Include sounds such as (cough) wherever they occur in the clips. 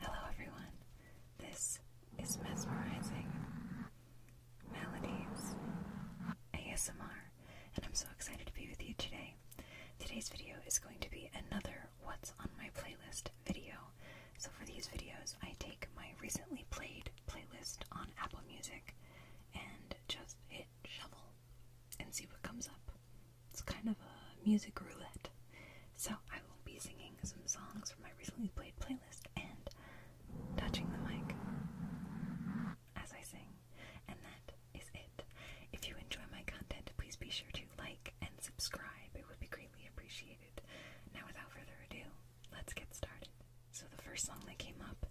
Hello, everyone. This is Mesmerizing Melodies ASMR, and I'm so excited to be with you today. Today's video is going to be another What's on My Playlist video. So for these videos, I take my recently played playlist on Apple Music and just hit shuffle and see what comes up. It's kind of a music roulette. So I will be singing some songs from my recently played playlist and touching the mic as I sing. And that is it. If you enjoy my content, please be sure to like and subscribe. It would be greatly appreciated. Now, without further ado, let's get started. So, the first song that came up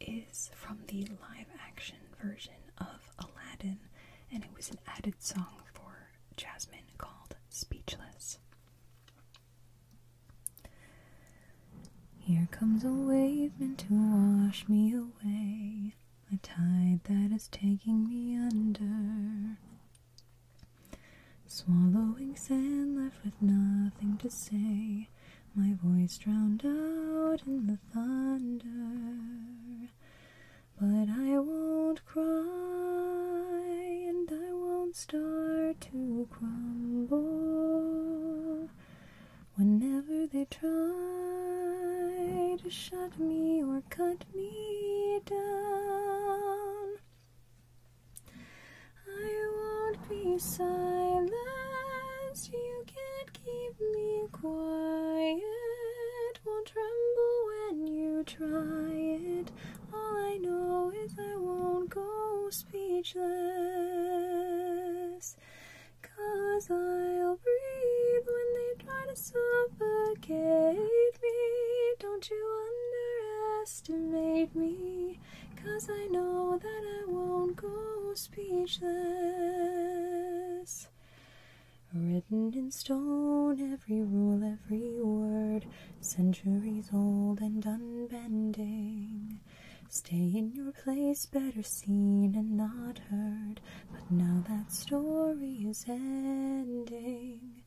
is from the live action version of Aladdin, and it was an added song for Jasmine called Speechless. Here comes a wave meant to wash me away, a tide that is taking me under. Swallowing sand, left with nothing to say, my voice drowned out in the thunder. But I won't cry, and I won't start to crumble. Whenever they try to shut me or cut me down, I won't be silenced. You can't keep me quiet. Won't tremble when you try it. All I know is I won't go speechless. Cause I'll breathe when they try to suffocate me. Don't you underestimate? underestimate me, I know that I won't go speechless. Written in stone, every rule, every word, centuries old and unbending. Stay in your place, better seen and not heard. But now that story is ending.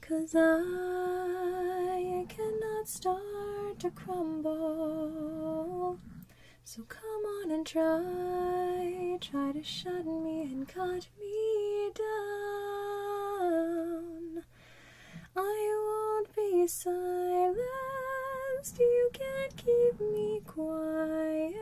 Cause I cannot start to crumble. So come on and try, try to shut me and cut me down. I won't be silenced, you can't keep me quiet.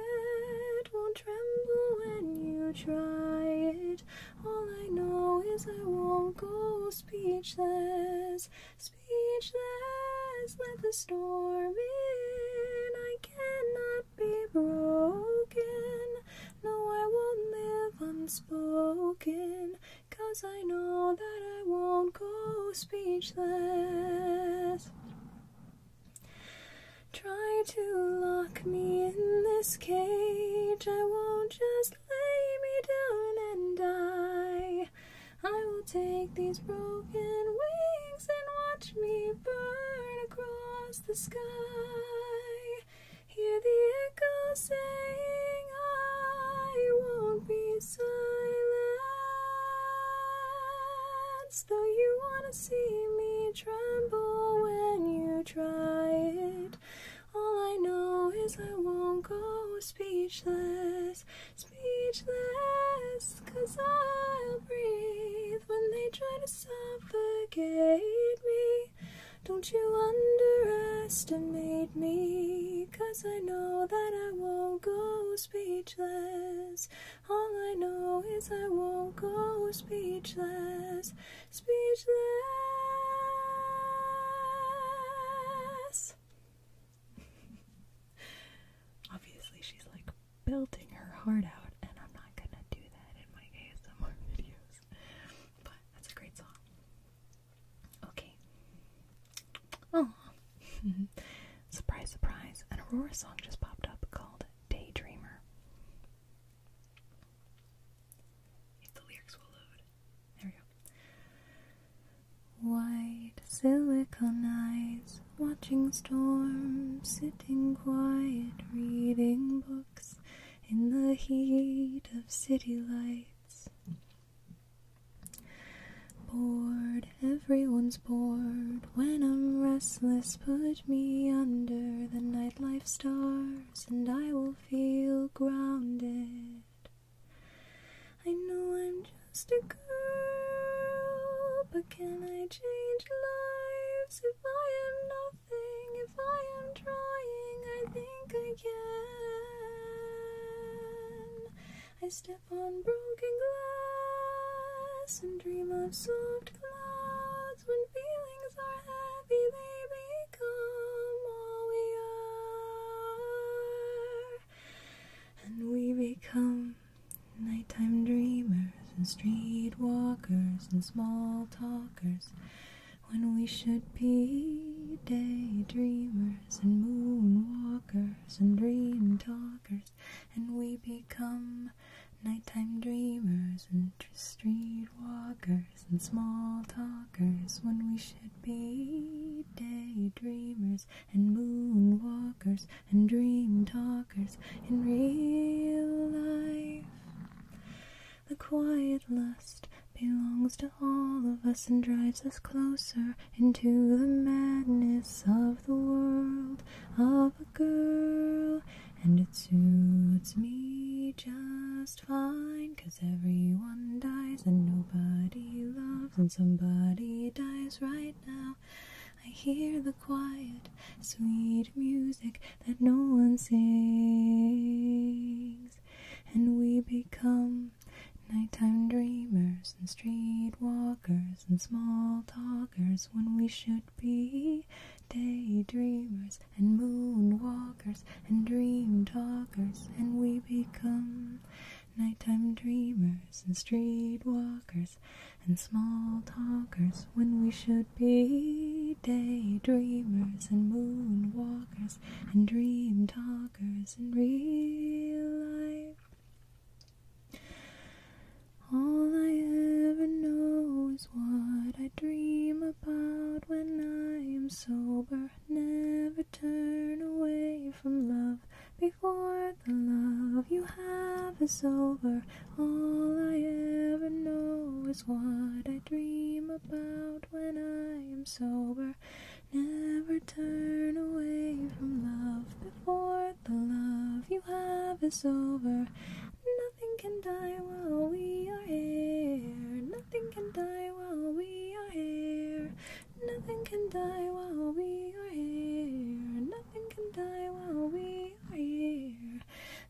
Won't tremble when you try it. All I know is I won't go speechless, speechless. Let the storm in. I cannot be broken. No, I won't live unspoken. Cause I know that I won't go speechless. Try to lock me in this cage. I won't just lay me down and die. I will take these broken wings and watch me burn across the sky. Hear the echo saying, I won't be silenced. Though you want to see me tremble when you try it. All I know is I won't go speechless, speechless, cause I'll breathe when they try to suffocate me. Don't you underestimate me, cause I know that I won't go speechless. All I know is I won't go speechless speechless. Obviously, she's like belting her heart out, and I'm not gonna do that in my ASMR videos. But that's a great song. Okay. Oh, (laughs) surprise, surprise! An Aurora song just popped up called Daydreamer. White silicon eyes, watching storms, sitting quiet, reading books in the heat of city lights. Bored, everyone's bored. When I'm restless, put me under the nightlife stars, and I will still feel grounded. I know I'm just a girl, but can I change lives if I am nothing? If I am trying, I think I can. I step on broken glass and dream of soft clouds when feelings are heavy, they become all we are. And we become nighttime dreamers and streetwalkers and small talkers when we should be daydreamers and moonwalkers and dream talkers. And we become nighttime dreamers and street walkers and small talkers when we should be daydreamers and moonwalkers and dream talkers in real life. The quiet lust belongs to all of us and drives us closer into the madness of the world of a girl, and it suits me just fine, cause everyone dies and nobody loves, and somebody dies right now. I hear the quiet, sweet music that no one sings, and we become nighttime dreamers and street walkers and small talkers when we should be daydreamers and moonwalkers and dream talkers, and we become nighttime dreamers and streetwalkers and small talkers when we should be daydreamers and moonwalkers and dream talkers in real life. All I ever know is what I dream about when I am sober. Never turn away from love before the love you have is over. All I ever know is what I dream about when I am sober. Never turn away from love before the love you have is over. Nothing can die while we are here. Nothing can die while we are here. Nothing can die while we are here. Nothing can die while we are here.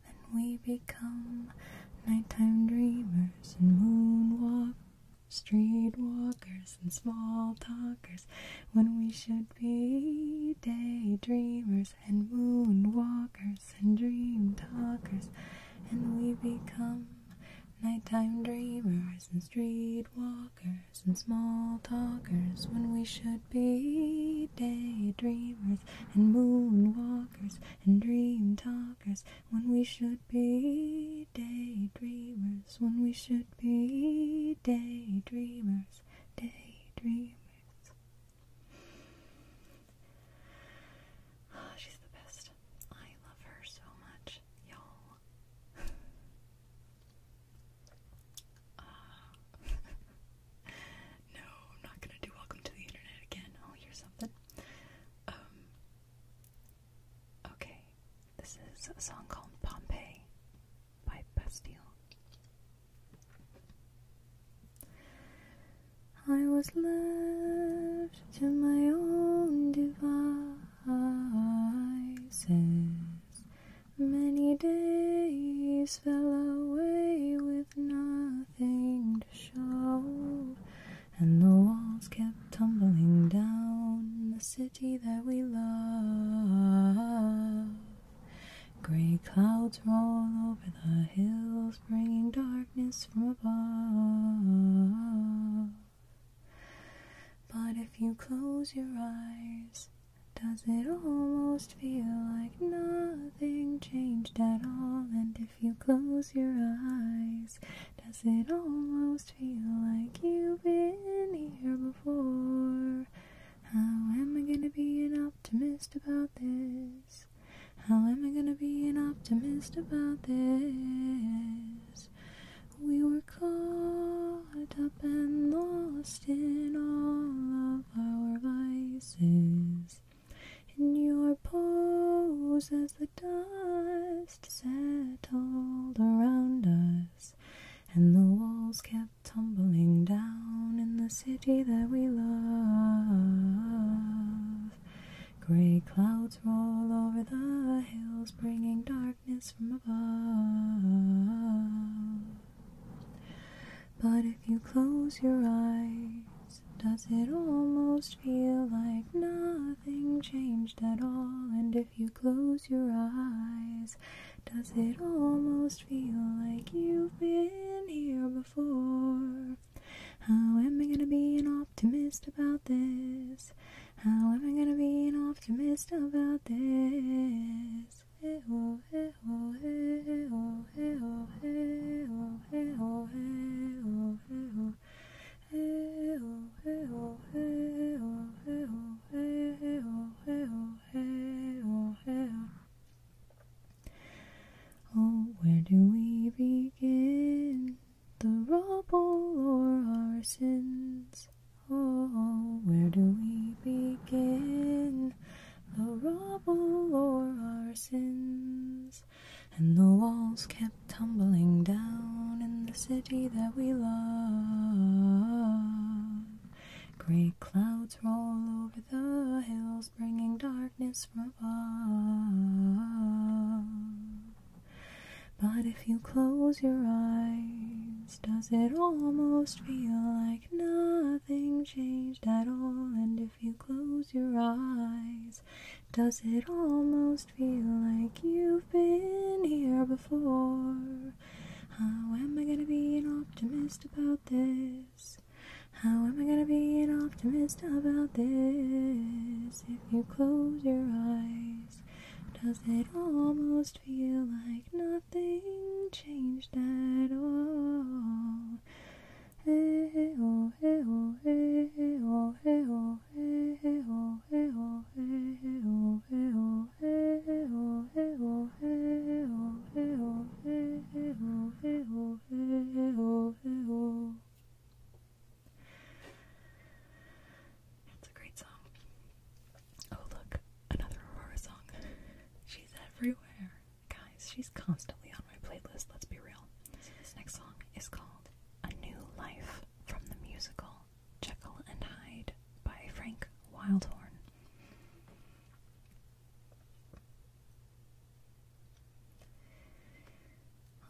Then we become nighttime dreamers and moonwalk, streetwalkers and small talkers when we should be daydreamers and moonwalkers and dream talkers, and we become nighttime dreamers and streetwalkers and small talkers when we should be daydreamers and moonwalkers and dream talkers when we should be daydreamers when we should be daydreamers daydreamers (sighs) she's the best. I love her so much, y'all. (laughs) Uh, (laughs) no, I'm not gonna do Welcome to the Internet again. I'll oh, something. Um, okay, this is a song called Pompeii by Bastille. I was left to my own devices. Many days fell away with nothing to show, and the walls kept tumbling down the city that we love. Grey clouds roll over the hills, bringing darkness from above. But if you close your eyes, does it almost feel like nothing changed at all? And if you close your eyes, does it almost feel like you've been here before? How am I gonna be an optimist about this? How am I gonna be an optimist about this? We were caught up and lost in all of our vices. In your pose as the dust settled around us, and the walls kept tumbling down in the city that we love. Grey clouds roll over the hills, bringing darkness from above. But if you close your eyes, does it almost feel like nothing changed at all? And if you close your eyes, does it almost feel like you've been here before? How am I gonna be an optimist about this? How am I gonna be an optimist about this? Oh, where do we begin? The rubble or our sins? Oh, where do we begin? The rubble or our sins? And the walls kept tumbling down in the city that we love. Great clouds roll over the hills, bringing darkness from above. But if you close your eyes, does it almost feel like nothing changed at all? And if you close your eyes, does it almost feel like you've been here before? How am I gonna be an optimist about this? How am I gonna be an optimist about this? If you close your eyes, does it almost feel like nothing changed at all? Hey oh, hey oh, hey oh, hey oh, hey oh, hey oh, hey oh, hey oh, hey oh, hey oh, hey oh, hey oh, hey oh, hey oh, hey oh, hey oh. It's a great song. Oh, look, another Aurora song. she's everywhere. Guys, she's constantly on my playlist, let's be real. This next song is called A New Life from the musical Jekyll and Hyde by Frank Wildhorn.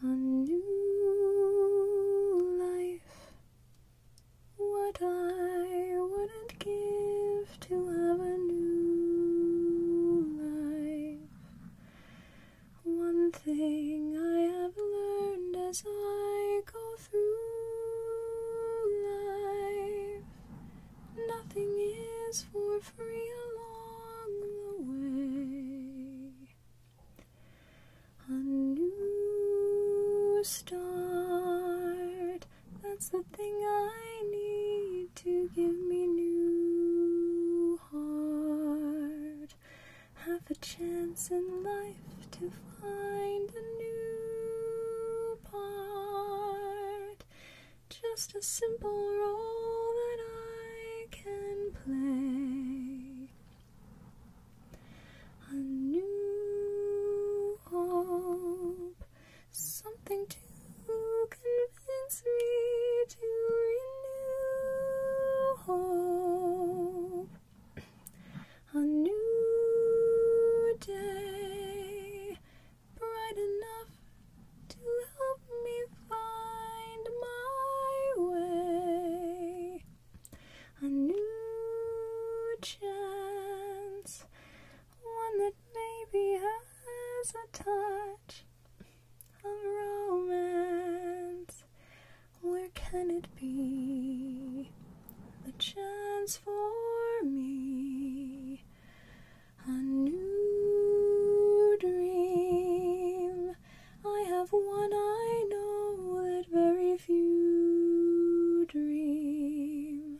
A new life. What I wouldn't give to have a new life. One thing I have learned as I go through life nothing is for free along the way. A new start, that's the thing I need to give me new heart. Have a chance in life to find a new part. Just a simple role that I can play. A new hope, something to convince me to renew hope. A new day, bright enough to help me find my way. A new chance, one that maybe has a touch of romance. Where can it be? The chance for me. A new dream. I have one I know that very few dream.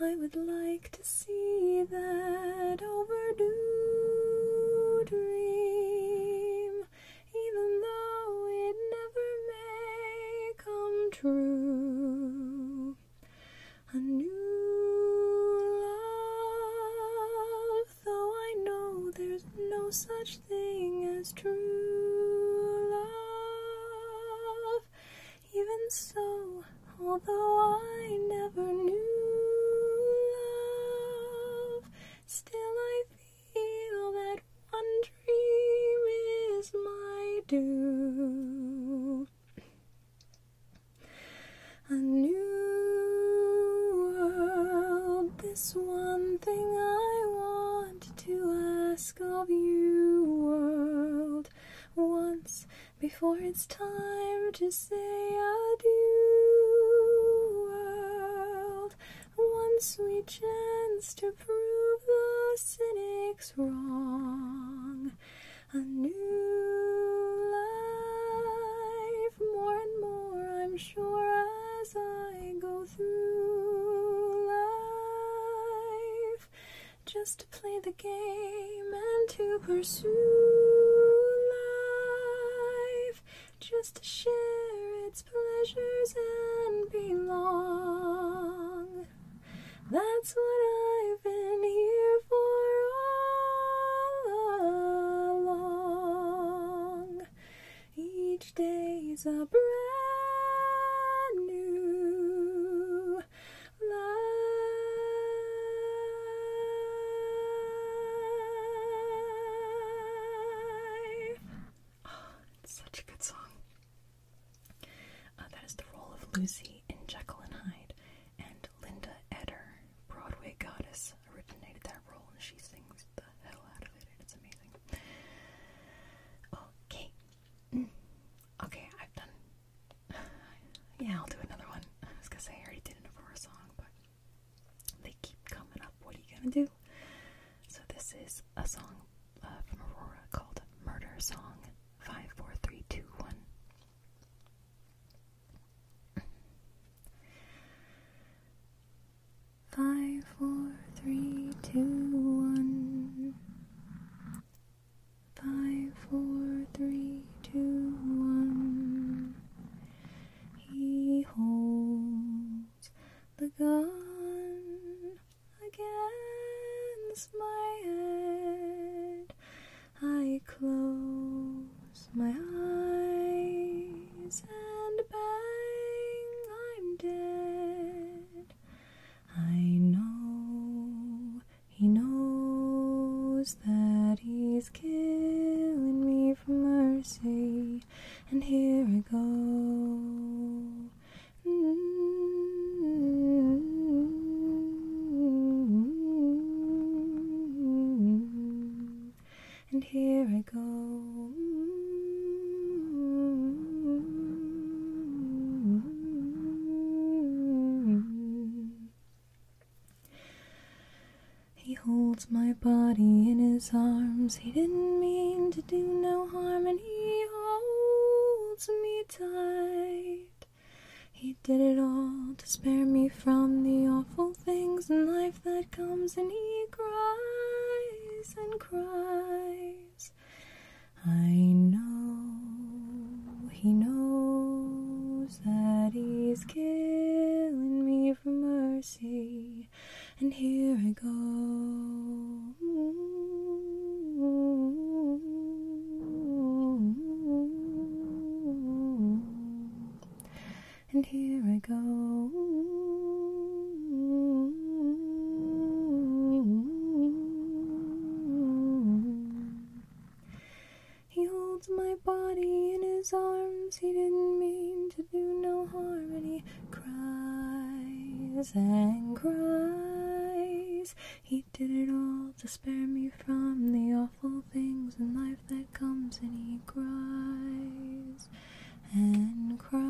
I would like to see that overdue dream, even though it never may come true. A new love though I know there's no such thing as true love. Even so, although I never knew love, still I feel that one dream is my due. A new world, this one thing I want to ask of you, world, once before it's time to say adieu, world, one sweet chance to prove the cynics wrong. A new life more and more, I'm sure, as I go through life, just to play the game and to pursue life, just to share its pleasures and belong. That's what I've been here for for all along. Each day's a brand new life. Oh, it's such a good song. Uh, that is the role of Lucy in Jekyll and Hyde. And Linda Eder, Broadway goddess, originated that role, and she sings the hell out of it, it's amazing. Okay. Mm. Okay, I've done. (sighs) yeah, I'll do another one. I was gonna say I already did an Aurora song, but they keep coming up. What are you gonna do? So, this is a song uh, from Aurora called Murder Song 54321. Five, four, three, two, one. Five, four, three, two, one. He holds the gun against my head. I close my eyes and bang, I'm dead. I know he knows that he's killing me for mercy, and here I go. Mm-hmm and here I go. He holds my body in his arms, he didn't mean to do no harm, and he holds me tight. He did it all to spare me from the awful things in life that comes, and he cries and cries. I know he knows that he's killing me for mercy, and here I go and here I go. He holds my body in his arms, he didn't mean to do no harm, and he cries and cries. He did it all to spare me from the awful things in life that comes and he cries and cries.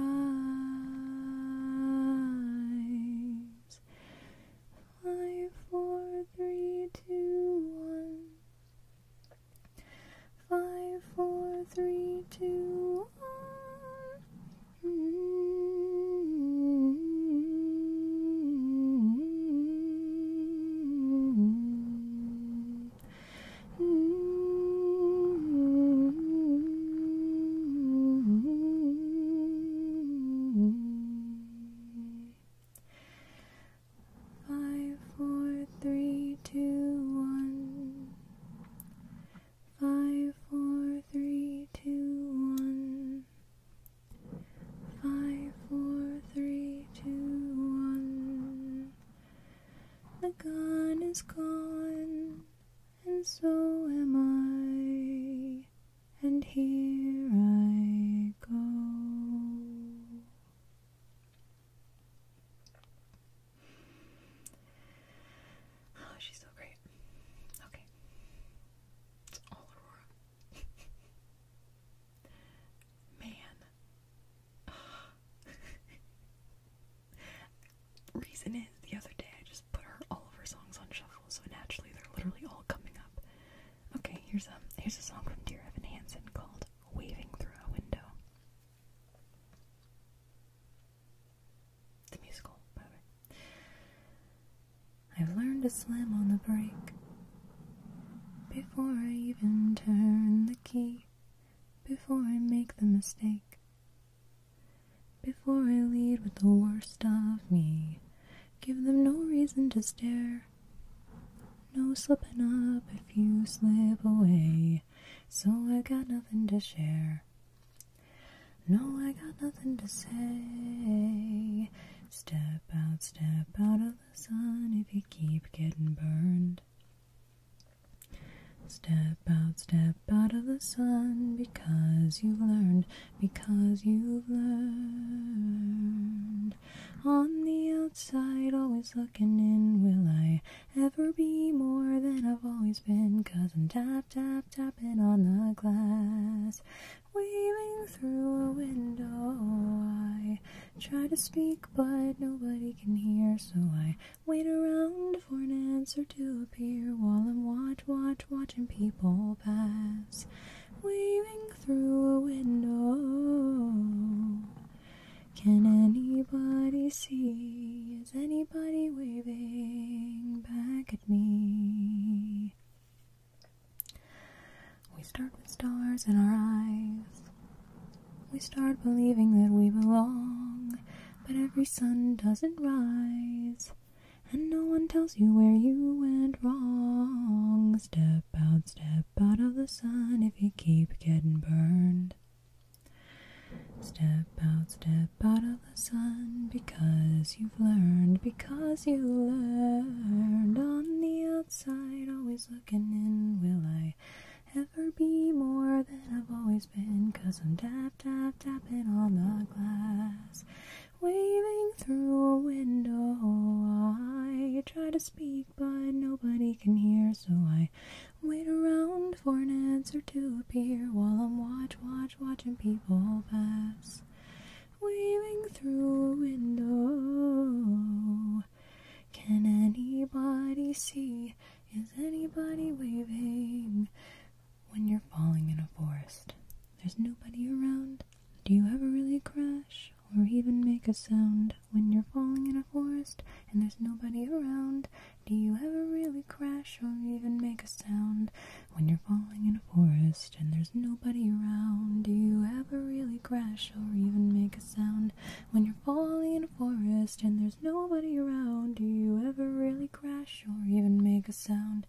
Five, four, three, two, one. Five, four, three, two, one. Mm. Five, four, three, two, one. Five, four, three, two, one. Five, four, three three, two, one. The gun is gone, and so am I, and here I go. Oh, she's so great. Okay. It's all Aurora. (laughs) Man. (sighs) Reason is, the other day I just put all of her songs on shuffle, so naturally they're literally all coming up. Okay, here's a here's a song from Dear Evan Hansen called "Waving Through a Window." The musical, I've learned to swim on the break. Before I even turn the key, before I make the mistake, before I lead with the worst of me, give them no reason to stare. No slipping up if you slip away, so I got nothing to share. No, I got nothing to say. Step out, step out of the sun if you keep getting burned. Step out, step out of the sun because you've learned, because you've learned. On the outside, always looking in, will I ever be more than I've always been? Cause I'm tap, tap, tapping on the glass, waving through a window. I Try to speak, but nobody can hear, so I wait around for an answer to appear while I'm watch, watch, watching people pass, waving through a window. Can anybody see? Is anybody waving back at me? We start with stars in our eyes. We start believing that we belong, but every sun doesn't rise. And no one tells you where you went wrong. Step out, step out of the sun if you keep getting burned. Step out, step out of the sun because you've learned, because you learned. On the outside, always looking in, will I? ever be more than I've always been? i I'm tap, tap, tapping on the glass, waving through a window. I try to speak, but nobody can hear, so I wait around for an answer to appear while I'm watch, watch, watching people pass. Waving through a window, can anybody see? Is anybody waving? When you're falling in a forest, there's nobody around. Do you ever really crash or even make a sound? When you're falling in a forest and there's nobody around, do you ever really crash or even make a sound? When you're falling in a forest and there's nobody around, do you ever really crash or even make sound when you're falling in a forest and there's nobody around? Do you ever really crash or even make a sound?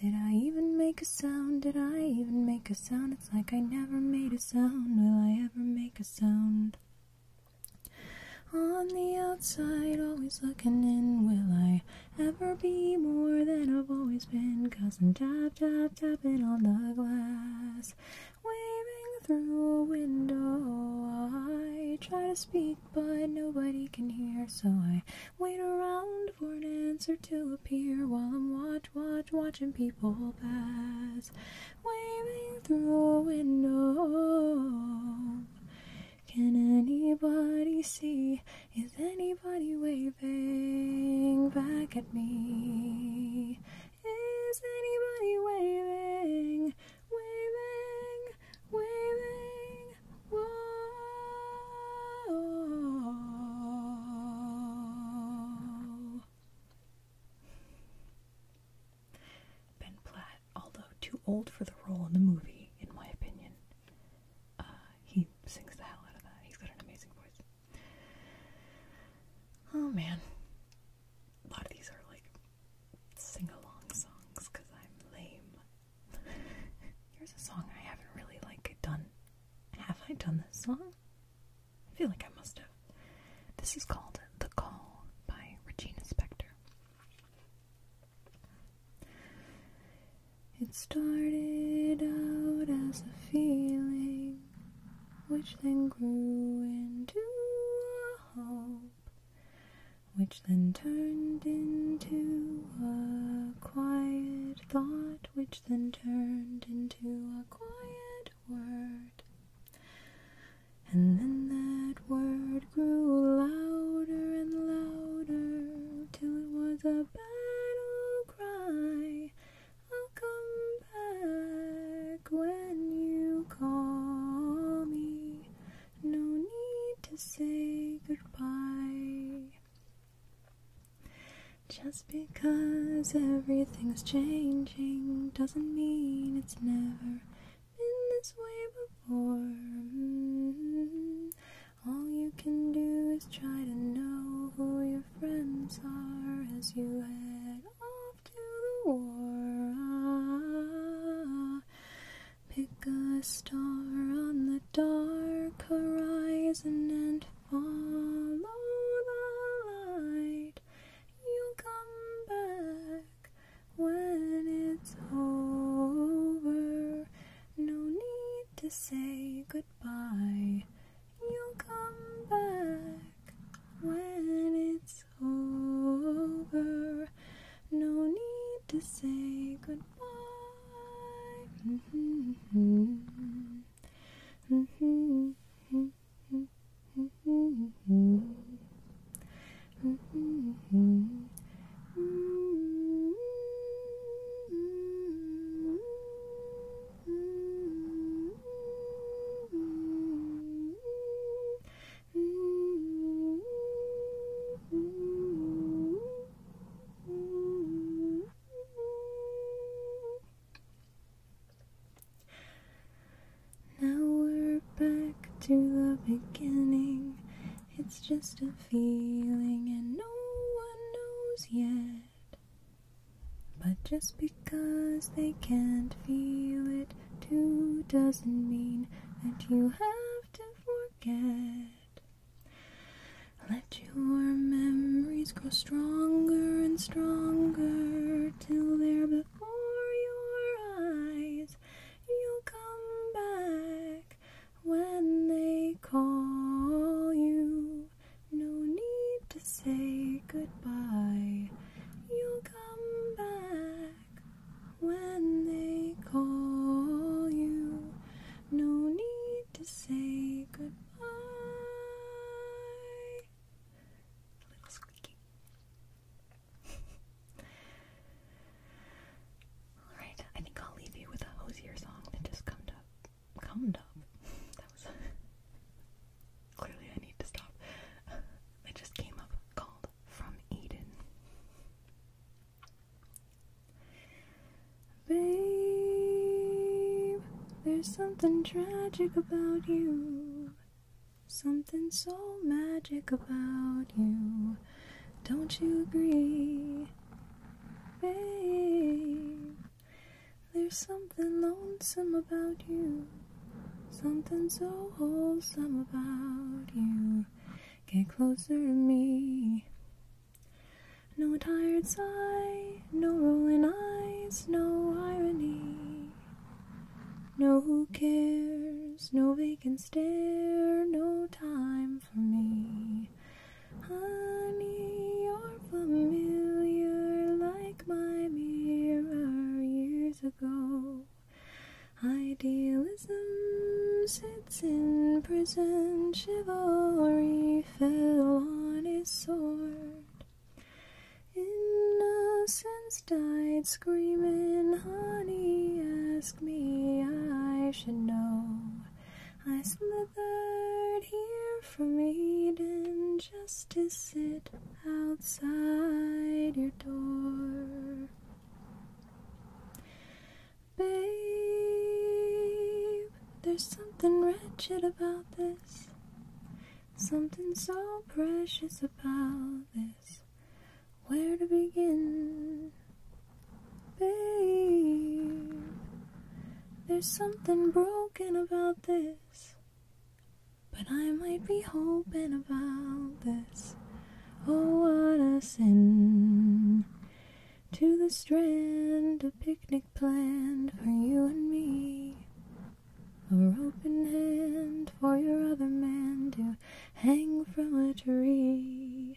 Did I even make a sound? Did I even make a sound? It's like I never made a sound. Will I ever make a sound? On the outside, always looking in, will I ever be more than I've always been? Cause I'm tap, tap, tapping on the glass waving through a window. I try to speak, but nobody can hear, so I wait around for an answer to appear while I'm watch, watch, watching people pass, waving through a window. Can anybody see? Is anybody waving back at me? Is anybody waving? Waving, waving. Whoa. Ben Platt, although too old for the role in the movie, in my opinion, uh, he sings the hell out of that. He's got an amazing voice. Oh man. A lot of these are like sing along songs because I'm lame. (laughs) Here's a song I haven't really like done. Have I done this song? I feel like I must have. This is called The Call by Regina Spektor. It started out as a feeling which then grew into a hope, which then turned into a quiet thought, which then turned into a quiet word. And then that word grew louder and louder till it was a battle cry, I'll come back when you call me. No need to say goodbye. Just because everything's changing doesn't mean it's never been this way before. Mm-hmm. All you can do is try to know who your friends are as you head off to the war. pick a star on the dark horizon and follow the light. You'll come back when it's over. No need to say goodbye. You'll come back when it's over. No need to say goodbye. Mm-hmm, mm-hmm, mm-hmm, now we're back to the beginning. It's just a feeling, and no one knows yet. But just because they can't feel it too doesn't mean that you have to forget. Let your memories grow stronger and stronger till they're before your eyes. You'll come back when they call you no need to say goodbye. You'll come back when they call you. No need to say goodbye. Little squeaky. Alright, I think I'll leave you with a hosier song that just comes up. Comed up. (laughs) That was Clearly, I need to stop. (laughs) It just came up called From Eden. Babe, there's something tragic about you. Something so magic about you. Don't you agree? Babe, there's something lonesome about you. Something so wholesome about you. Get closer to me. No tired sigh, no rolling eyes, no irony. No who cares, no vacant stare, no time for me. Honey, you're familiar like my mirror years ago. Idealism sits in prison, chivalry fell on his sword. Innocence died screaming, honey, ask me, I should know. I slithered here from Eden just to sit outside your door. Babe, there's something wretched about this. Something so precious about this. Where to begin? Babe, there's something broken about this. But I might be hoping about this. Oh, what a sin! To the strand, a picnic planned for you and me. A rope in hand for your other man to hang from a tree.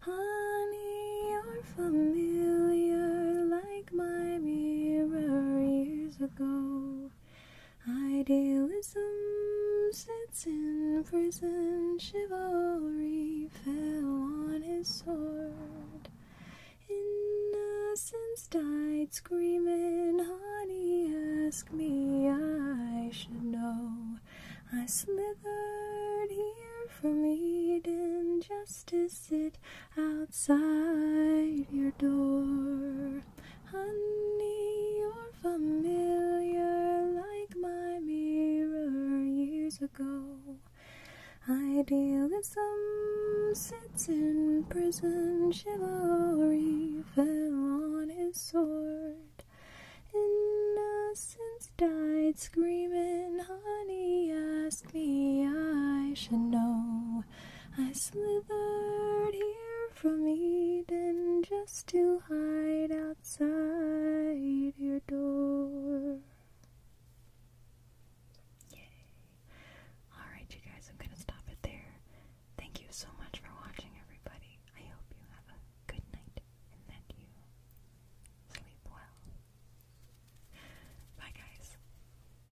Honey, you're familiar like like my mirror years ago. Idealism sits in prison, chivalry fell on his sword. Innocence died screaming, honey, ask me, I should know. I slithered here from Eden, justice sit outside your door. Honey, you're familiar like my mirror years ago. Idealism sits in prison, chivalry fell on his sword. Innocence died screaming, honey, ask me, I should know. I slithered here from Eden just to hide outside your door. Yay. Alright, you guys, I'm gonna stop it there. Thank you so much for watching, everybody. I hope you have a good night and that you sleep well. Bye, guys.